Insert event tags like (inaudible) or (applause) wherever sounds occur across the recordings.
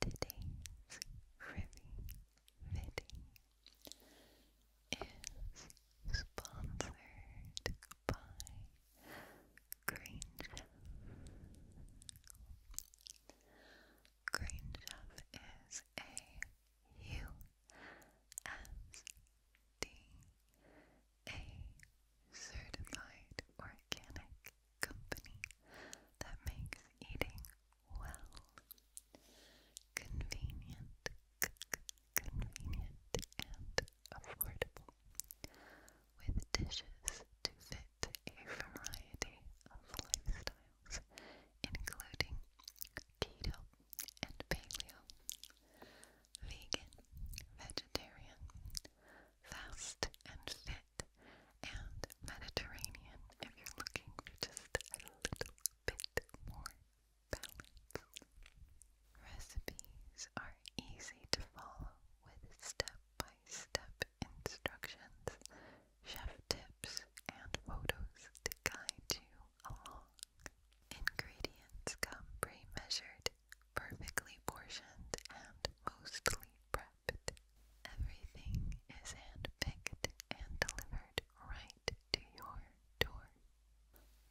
Today's Rivy is sponsored by Green Chef. is a U S D a certified organic company that makes eating well convenient, convenient and affordable with dishes to fit a variety of lifestyles including keto and paleo vegan, vegetarian, fast and fit, and Mediterranean if you're looking just a little bit more balance. Recipes are easy to follow with step by step instructions, chef tips, and photos to guide you along. Ingredients come pre-measured, perfectly portioned, and mostly prepped. Everything is handpicked and delivered right to your door.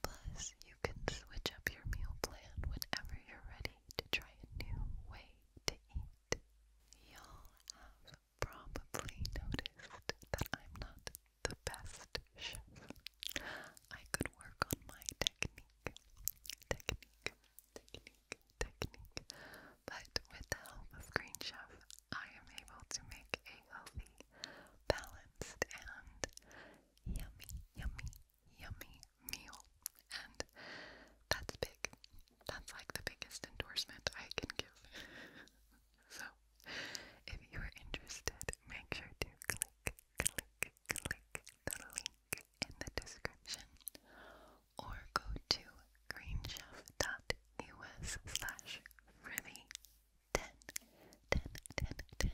Plus, you can switch up your meal plan whenever you're ready to try a new way to eat. Y'all have probably noticed that I'm not the best chef. I could work on my technique, technique, technique, technique. But with the help of Green Chef, I am able to make a healthy, balanced, and yummy, yummy, yummy meal. And that's big. That's like the biggest endorsement I can give. (laughs) so, if you're interested, make sure to click, click, click the link in the description or go to greenchef.us slash for 10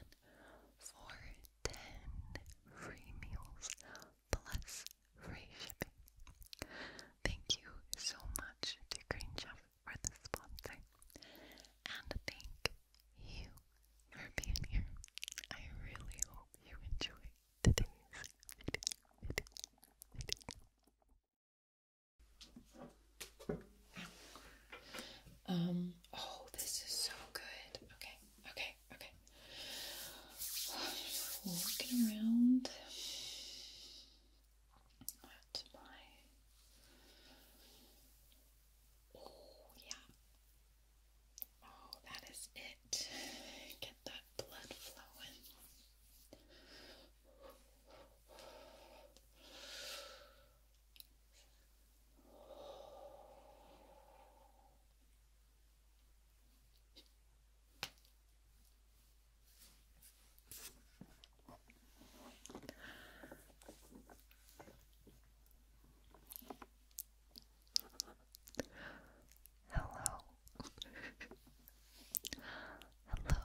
free meals plus free shipping. Thank you so much to Green Chef for the sponsor and thank you for being here. I really hope you enjoy today's video. Um, oh, this is so good. Okay, okay, okay. Looking around at my Oh, yeah. Oh, that is it. Get that blood flowing. Hello. hello. Hello. Hello.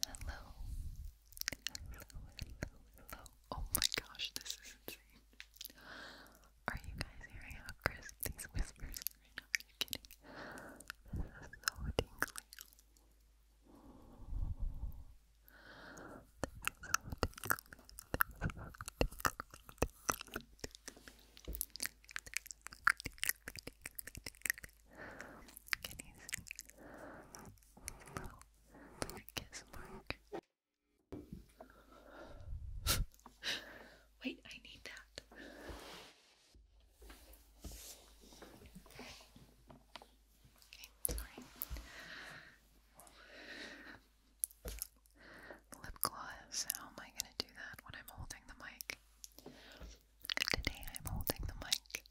Hello. Hello. Oh my gosh, this is insane. Are you guys hearing how crisp these whispers are Are you kidding? This is so tingly kiss mark. Wait, I need that. Lip gloss, how am I gonna do that when I'm holding the mic? Today I'm holding the mic.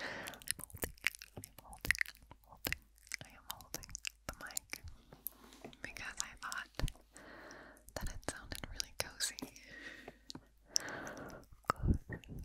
holding, holding, holding, I am holding the mic. Because I thought that it sounded really cozy. Cozy.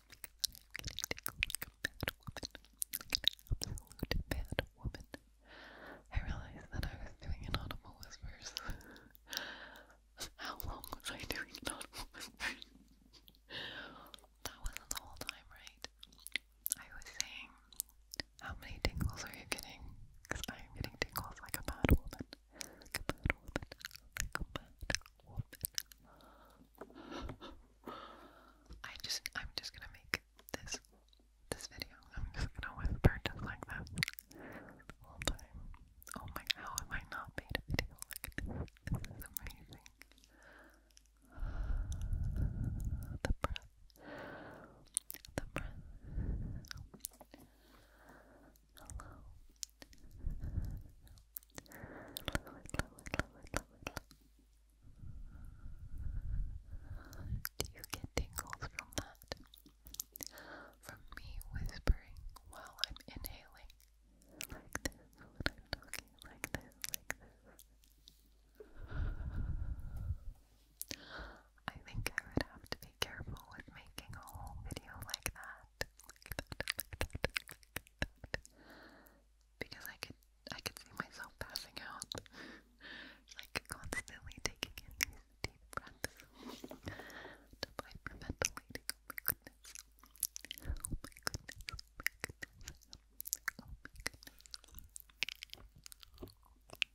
I realized that I was doing inaudible whispers. (laughs) How long was I doing inaudible whispers? that wasn't the whole time, right? I was saying, how many tingles are you getting? Because I am getting tingles like a bad woman. Like a bad woman. Like a bad woman. I just I'm just gonna make this this video. I'm just gonna whisper just like that Oh my how have I not made a video like this? This is amazing. The breath. The breath. Hello. Do you get tingles from that? From me whispering while I'm inhaling. Like this talking, like this, like this. I think I would have to be careful with making a whole video like that because I could I could see myself passing out, (laughs) like constantly taking in these deep breaths to hyperventilating. Oh my goodness! Oh my goodness! Oh my goodness! Oh my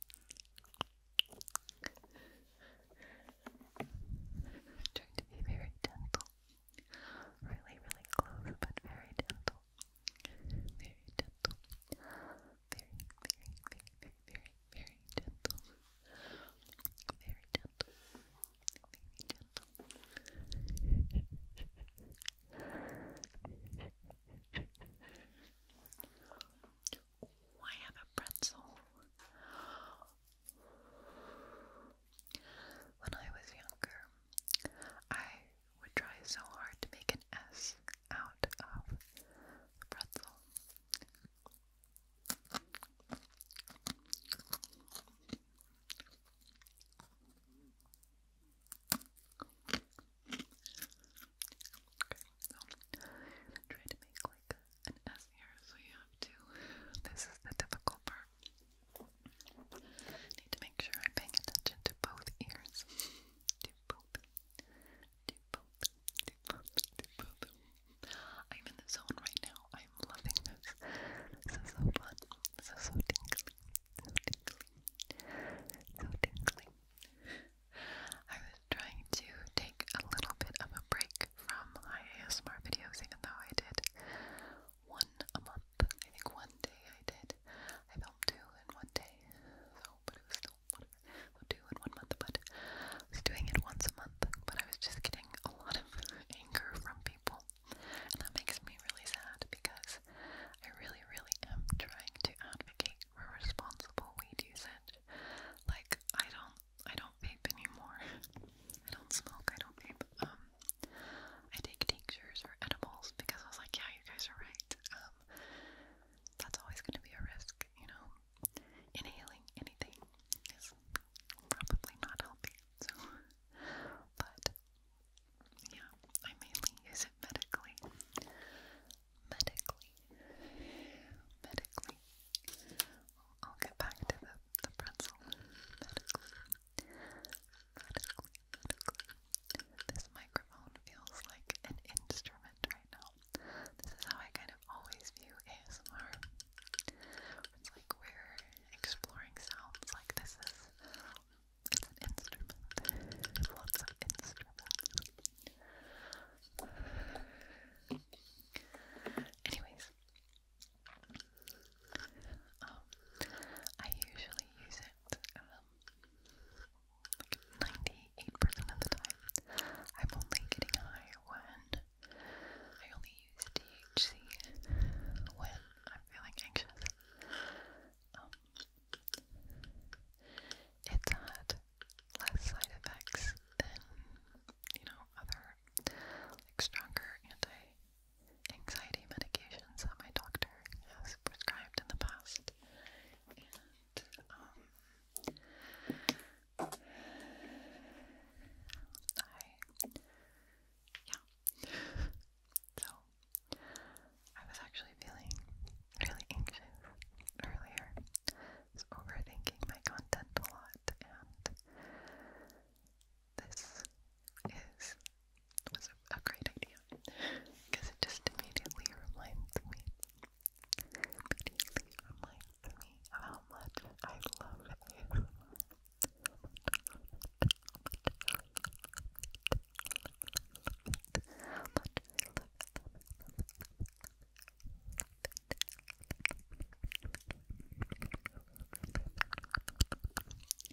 goodness! trying to be very gentle. Really, really close, but very gentle. Very gentle. Very, very, very, very, very, gentle. Very gentle. Very gentle. Oh, I have a pretzel. When I was younger, I would try so hard to make an S out of pretzel. Okay, so try to make like an S here, so you have to. (laughs) This is the difficult part. Need to make sure I'm paying attention to both ears. To both. To both. To both. To both. I'm in the zone right now. I'm loving this. This is so fun. This is so tingly. So tingly. So tingly. I was trying to take a little bit of a break from my ASMR videos, even though I did one a month. I think one day I did. I filmed two in one day. So, but it was still two in one month, but I was doing it once a month. But I was just getting a lot of (laughs) anger from people. And that makes me really sad because I really, really am trying to advocate for responsible weed usage. Like I don't I don't vape anymore. (laughs) I don't smoke, I don't vape. Um I take tinctures for edibles because I was like, yeah, you guys are right. Um, that's always going to be a risk, you know. Inhaling anything is probably not healthy. So, but yeah, I mainly use it medically. Medically, medically. I'll get back to the the pretzel. Medically. Medically, medically. This microphone feels like an instrument right now. This is how I kind of always view ASMR. It's like we're exploring sounds like this is it's an instrument. Lots of instruments. Anyways, um, I usually use it 98% um, of the time. I'm only getting high when I only use THC when I'm feeling anxious. Um, it's had less side effects than, you know, other like stronger anti anxiety medications that my doctor has prescribed in the past. And, um, I, yeah. so, I was actually feeling really anxious earlier. was overthinking my content a lot, and this is was a, great idea because it just immediately reminds me how much I love ASMR.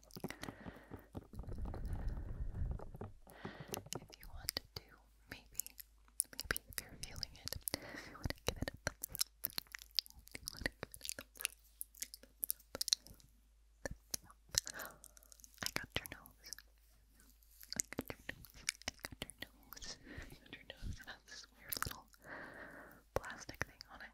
If you want to, maybe, maybe if you're feeling it, you want to give it a thumbs up, I got your nose. I got your nose. got your nose. got this weird little plastic thing on it.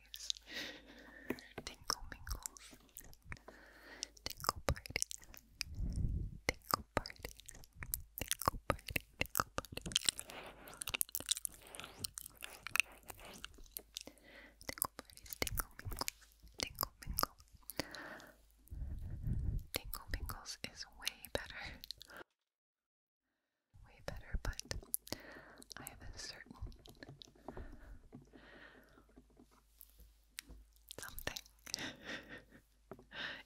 parties. Tingle mingles. Tingle parties. Tingle parties. Tingle party. Tingle party. Tingle parties. Tingle mingles. Tingle mingles. Tingle mingles is way better way better, but I have a certain something. (laughs)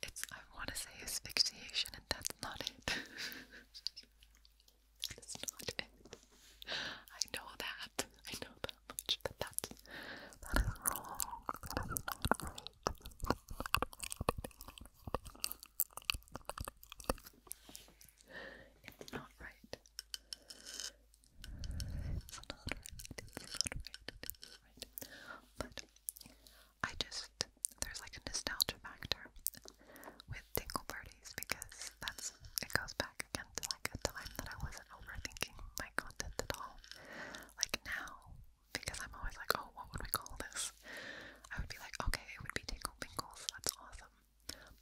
it's I want to say asphyxiation, and that's not it. (laughs) that's not it. I know that. I know that much, but that's that is wrong not right. not right. not right. But I just there's like a nostalgia factor with tingle parties because that's it goes back again to like a time that I wasn't overthinking my content at all. Like now, because I'm always like, oh, what would we call this? I would be like, okay, it would be tingle bingles. That's awesome.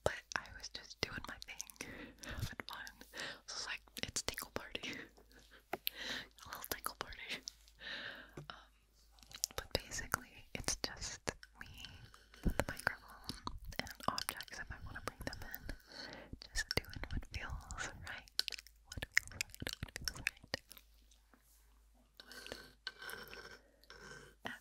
But I was just doing my thing, (laughs) having fun. it's like it's tinkle party, (laughs) a little tinkle party. Um, but basically, it's just me, the microphone, and objects if I want to bring them in. Just doing what feels right. What feels right. What feels right.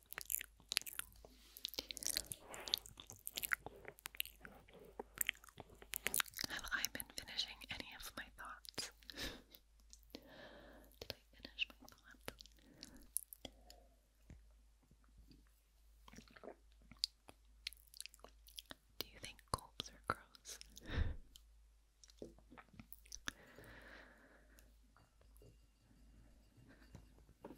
Have I been finishing any of my thoughts? (laughs) Did I finish my thought? Do you think gulps are gross? (laughs) Do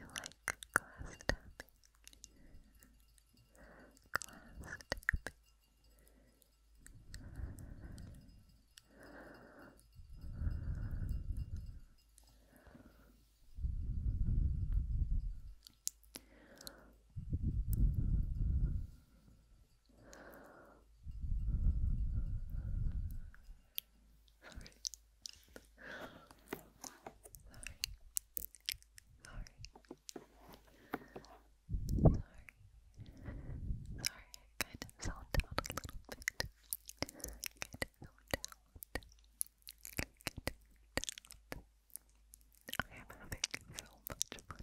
you like glass tapping? Glass tapping kind of zoned out a little bit. Kind of zoned out. Kind of zoned out. I am having so much fun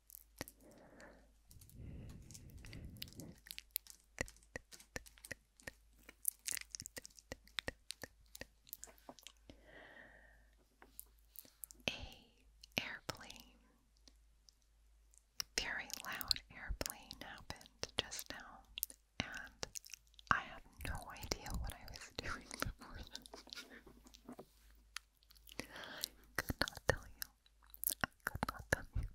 A airplane, very loud airplane happened just now, and I have no idea what I was (laughs) doing before I could not tell you. could not tell you.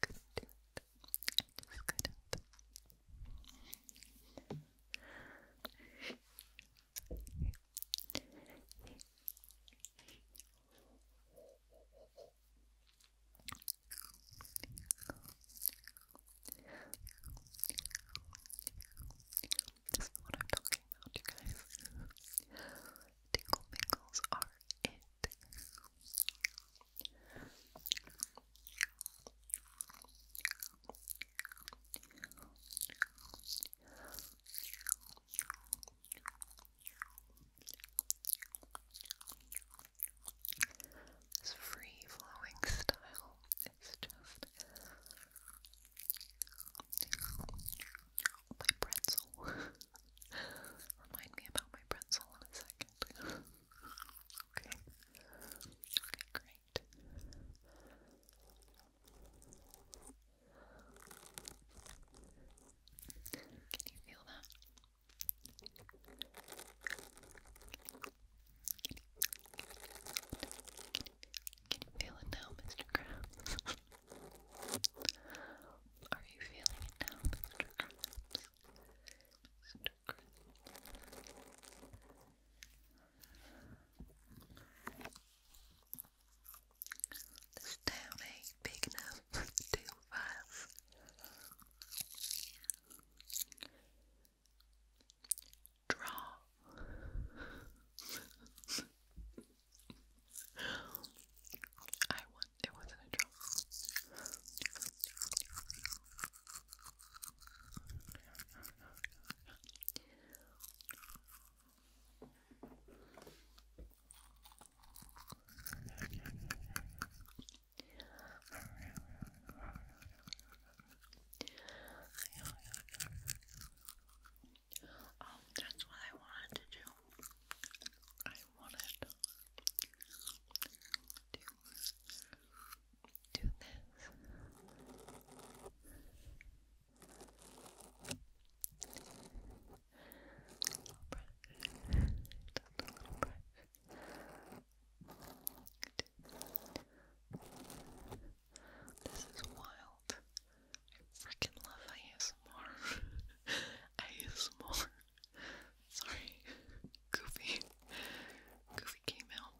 couldn't. couldn't couldn't. This is what I'm talking about, you guys. Tingle mingles are it. This free flowing style is my pretzel. (laughs) Remind me about my pretzel in a second. (laughs) okay. Okay, great. Can you feel that? you, can you feel it now, Mr. Krabs? (laughs) Are you feeling it now, Mr. Krabs? Mr. Krabs. This town ain't big enough for the us draw. (laughs) I want it wasn't a draw. Oh, that's what I wanted to do. I wanted to do this. Brush. a little brush. This is wild. I freaking love ASMR. ASMR. (laughs) Sorry. Goofy. Goofy came out.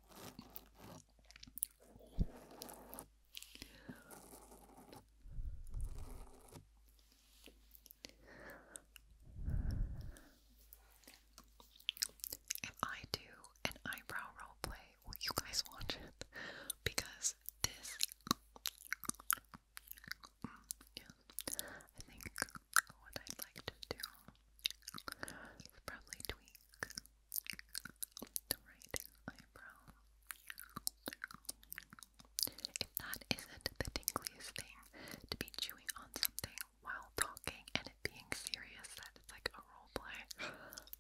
I do an eyebrow role play, why you guys watch it? Because this, mm, yeah, I think what I'd like to do is probably tweak the right eyebrow. If that isn't the tingliest thing to be chewing on something while talking and it being serious, like a role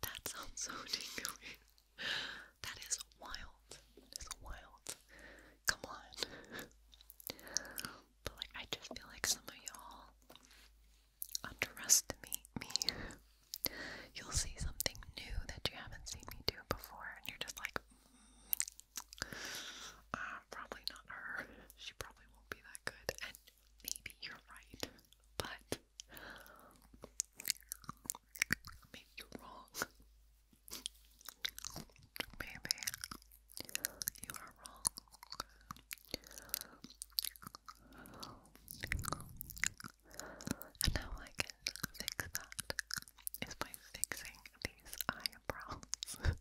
that sounds so tingly. (laughs) that is wild. That is wild. Come on. but like I just feel like some of y'all underestimate me. You'll see something new that you haven't seen me do before and you're just like mm, uh, probably not her. She probably won't be that good maybe you're right, but maybe you're wrong. Maybe you are wrong. And how I can fix that is by fixing these eyebrows. (laughs)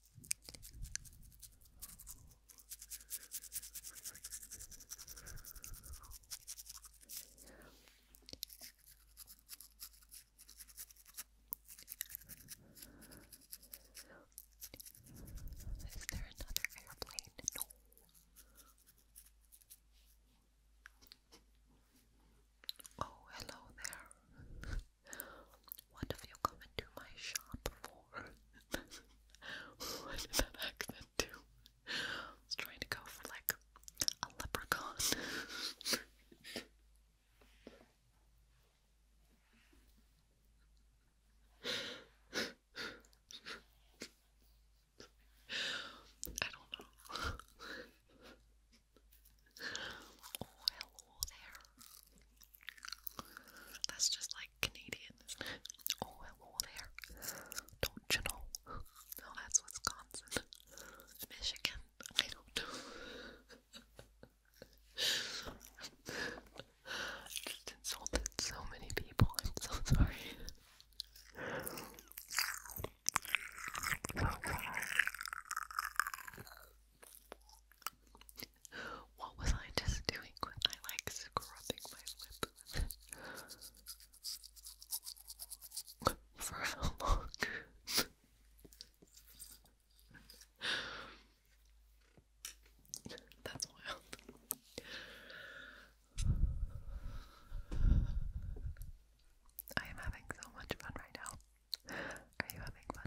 Is there another airplane? No. Oh, hello there. (laughs) What have you come into my shop for? (laughs) what did that do? I was trying to go for like a leprechaun. (laughs) I don't know. Oh, hello there. That's just like Canadian, isn't it? there. Don't you know? No, that's Wisconsin. Michigan. I don't know. (laughs) just insulted so many people. I'm so sorry. Oh, what was I just doing I like scrubbing my lip? For how long? That's wild. I am having so much fun right now. Are you having fun?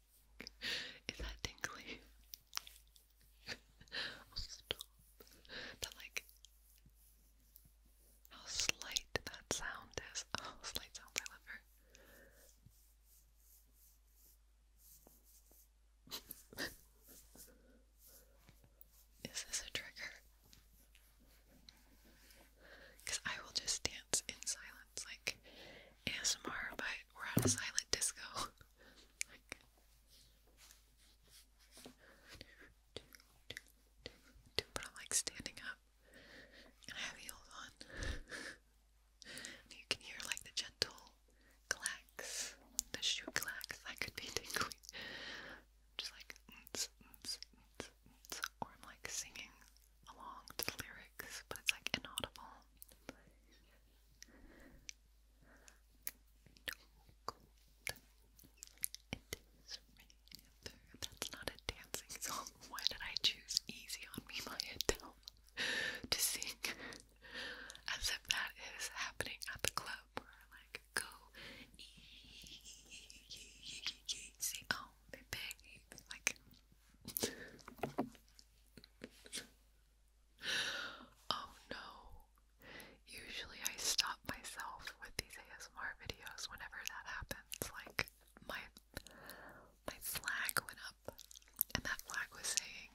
(laughs) Is that tingly? oh, (laughs) stop. That, like, how slight that sound is. (laughs) Oh, slight sounds, I love her. Is this a trigger? Because I will just dance in silence like ASMR, but we're at a silent disco but I like standing up and I have heels on. you can hear like the gentle clacks, the shoe clacks. That could be tingly. Just like or I'm like singing along to the lyrics, but it's like inaudible. It is rather. That's not a dancing song. Why did I choose Easy on Me by Adele (laughs) to sing? As if that is happening at the club where like go easy oh like Oh no. Usually I stop myself with these ASMR videos whenever that happens. Like my my flag went up and that flag was saying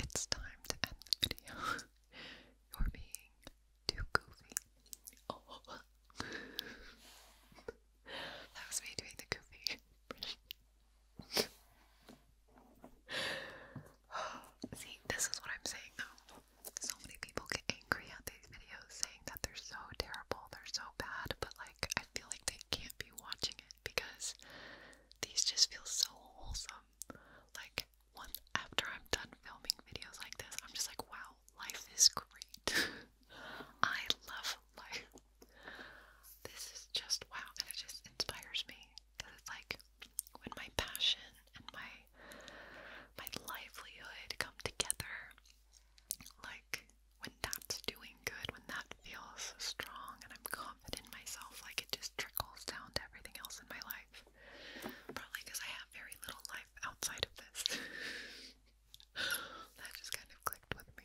it's time to end the video. (laughs) You're being too goofy. (laughs) that was me doing the goofy. (laughs) (sighs) See, this is what I'm saying though. So many people get angry at these videos saying that they're so terrible, they're so bad, but like I feel like they can't be watching it because these just feel so wholesome. Like once after I'm done filming videos like this, I'm just like, wow, life is great. (laughs) I love life. This is just wow, and it just inspires me because it's like when my passion and my my livelihood come together, like when that's doing good, when that feels strong and I'm confident in myself, like it just trickles down to everything else in my life. Probably because I have very little life outside of this. (laughs) that just kind of clicked with me.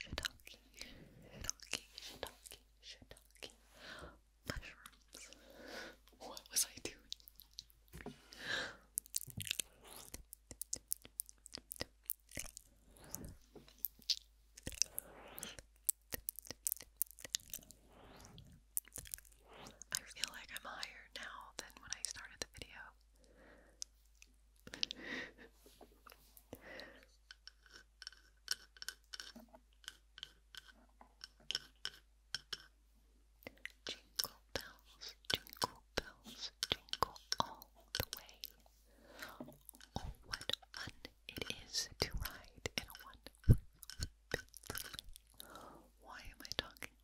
shiitake, shiitake, shiitake, shiitake mushrooms. What was I doing? I feel like I'm higher now than when I started the video. Jingle bells, jingle bells, jingle all the way. Oh, what fun it is to ride in a one. Why am I talking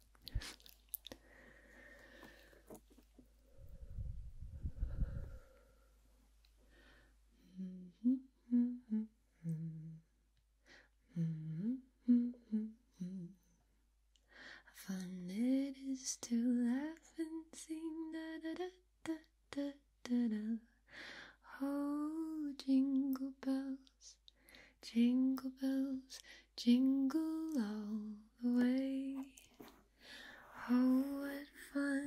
how fun it is to laugh and sing da da da da da da Oh, jingle bells, jingle bells, jingle all the way. Oh, what fun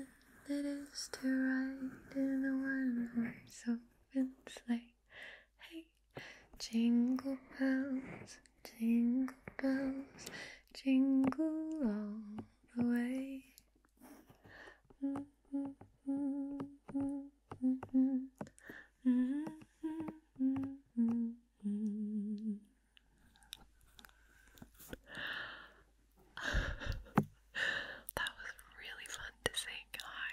it is to ride in a one horse open sleigh. Hey, jingle bells, jingle bells, jingle all the way. Mm-hmm. Mm-hmm. Mm-hmm. (laughs) that was really fun to sing. Hi.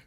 (laughs)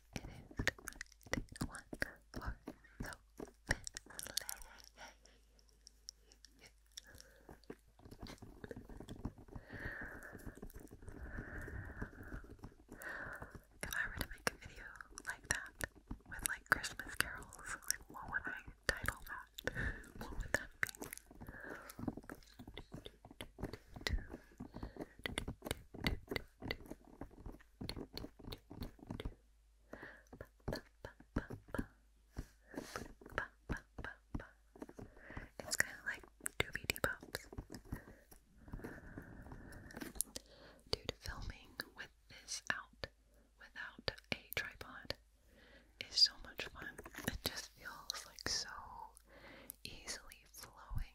it is one for so If I were to make a video like that with like Christmas carols, like what would I title that? what would that be? It's kind of like doobie depops. Dude, filming with this out without a tripod is so much fun. It just feels like so easily flowing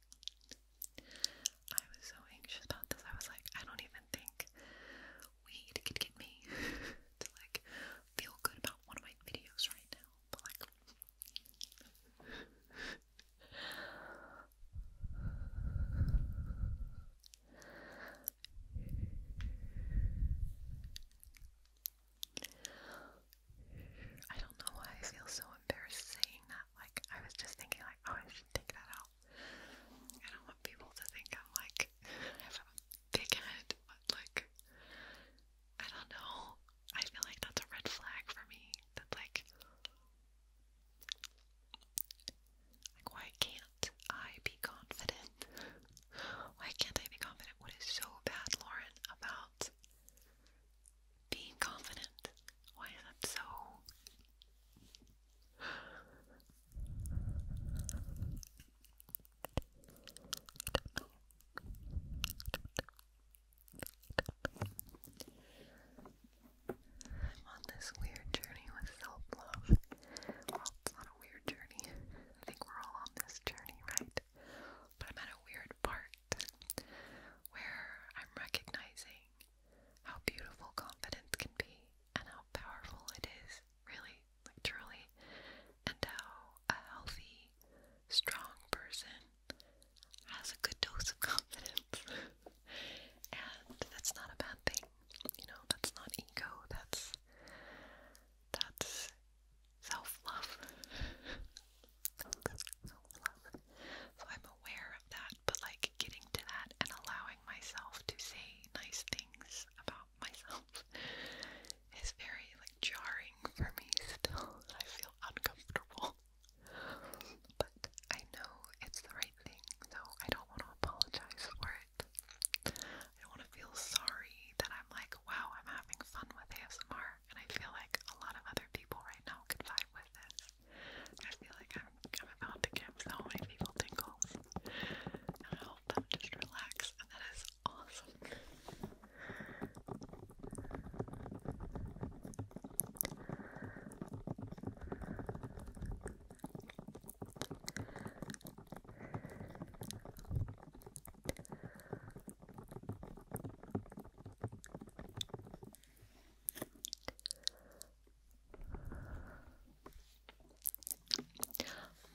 I was so anxious about this. I was like, I don't even think weed could get me (laughs) to like feel good about one of my videos right now. But like I don't know why I feel so embarrassed saying that. Like, I was just thinking, like, oh, I should take that I don't want people to think I'm like, I have a big head, but like, I don't know. I feel like that's a red flag for me. That like, like why can't I be confident? Why can't I be confident? What is so bad, Lauren, about being confident. Why is that so? I'm on this weird journey with self love. it's not a weird journey. I think we're all on this journey, right? But I'm at a weird part where I'm recognizing how beautiful confidence can be and how powerful it is, really, like truly, and how a healthy, strong person has a good dose of (laughs) confidence. and that's not a bad thing. You know, that's not ego, that's that's self-love. (laughs) self-love. So I'm aware of that, but like getting to that and allowing myself to say nice things about myself (laughs) is very like jarring for me still. (laughs) I feel uncomfortable. But I know it's the right thing, so I don't want to apologize for it. I don't want to feel sorry that I'm like, wow, I'm having fun with ASMR, and I feel like a lot of other people right now could vibe with this. I feel like I'm, about to give so many people tingles. And I them just relax, and that is awesome.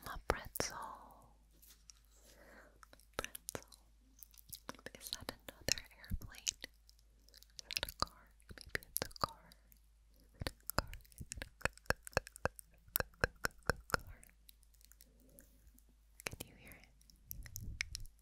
My pretzel. pretzel. Is that another airplane? Is that a car? Maybe it's a car? Can you hear it?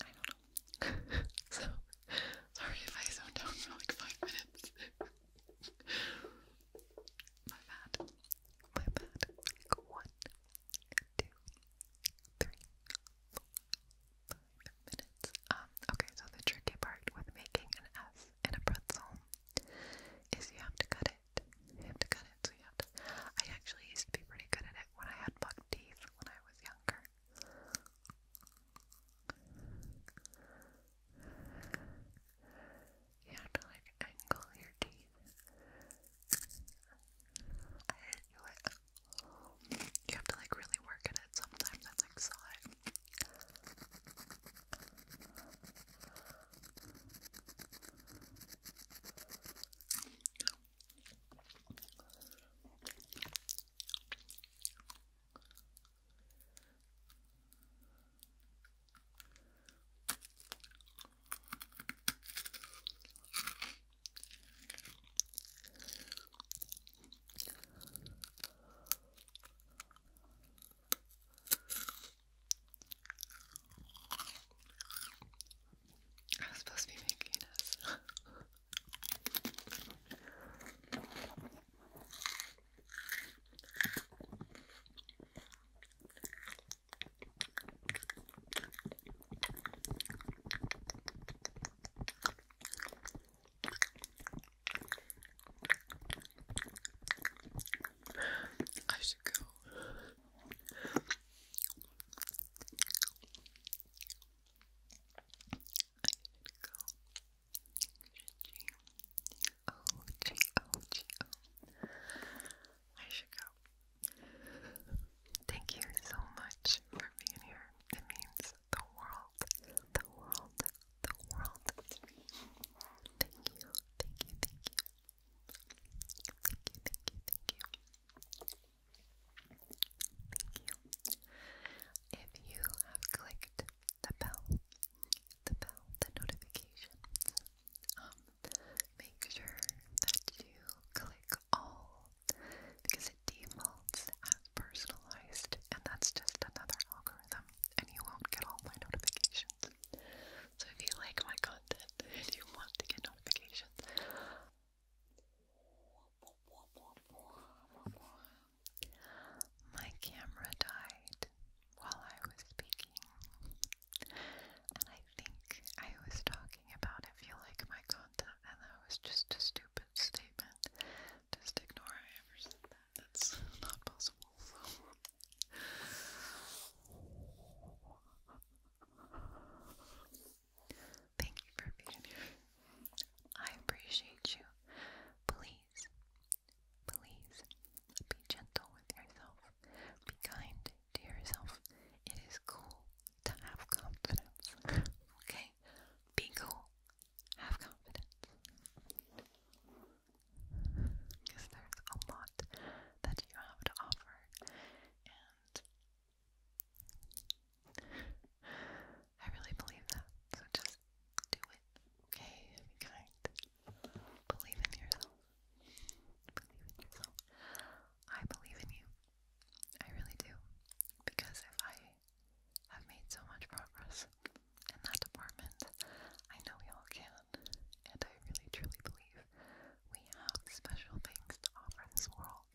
I don't know. (laughs) so, sorry if I zoned out for like five minutes. (laughs) My bad. My bad. one, two, three, four, five minutes. Um, okay, so the tricky part with making an S in a pretzel is you have to cut it. You have to cut it, so you have to. I actually used to be pretty good at it when I had buck teeth when I was younger. You have to like angle your teeth. You have to like really work at it sometimes. I like saw I was supposed to be making this. (laughs) I should go should go. G O G O G O. I should go. Thank you so much for being here. It means the world, the world, the world. Thank you, thank you, thank you, thank you, thank you, thank you. Thank you. If you have clicked the bell, the bell, the notifications, um, make sure that you click all because it defaults as personalized, and that's just another algorithm, and you won't get all my notifications. So if you like my content (laughs) you want to get notifications, my camera died while I was speaking. And I think I was talking about if you like my content, and that was just a stupid statement. Just ignore I ever said that. That's not possible. (laughs) Thank you for being here. I appreciate you. Please, please be gentle with yourself. Be kind to yourself. It is cool to have confidence. (laughs) okay? Be cool. Have confidence. Because there's a lot that you have to offer. And I really believe that. So just do it. Okay? Be kind. Believe in yourself. Believe in yourself. I believe in you. I really do. Because if I have made so much progress in that department, I know we all can. And I really truly believe we have special things to offer this world.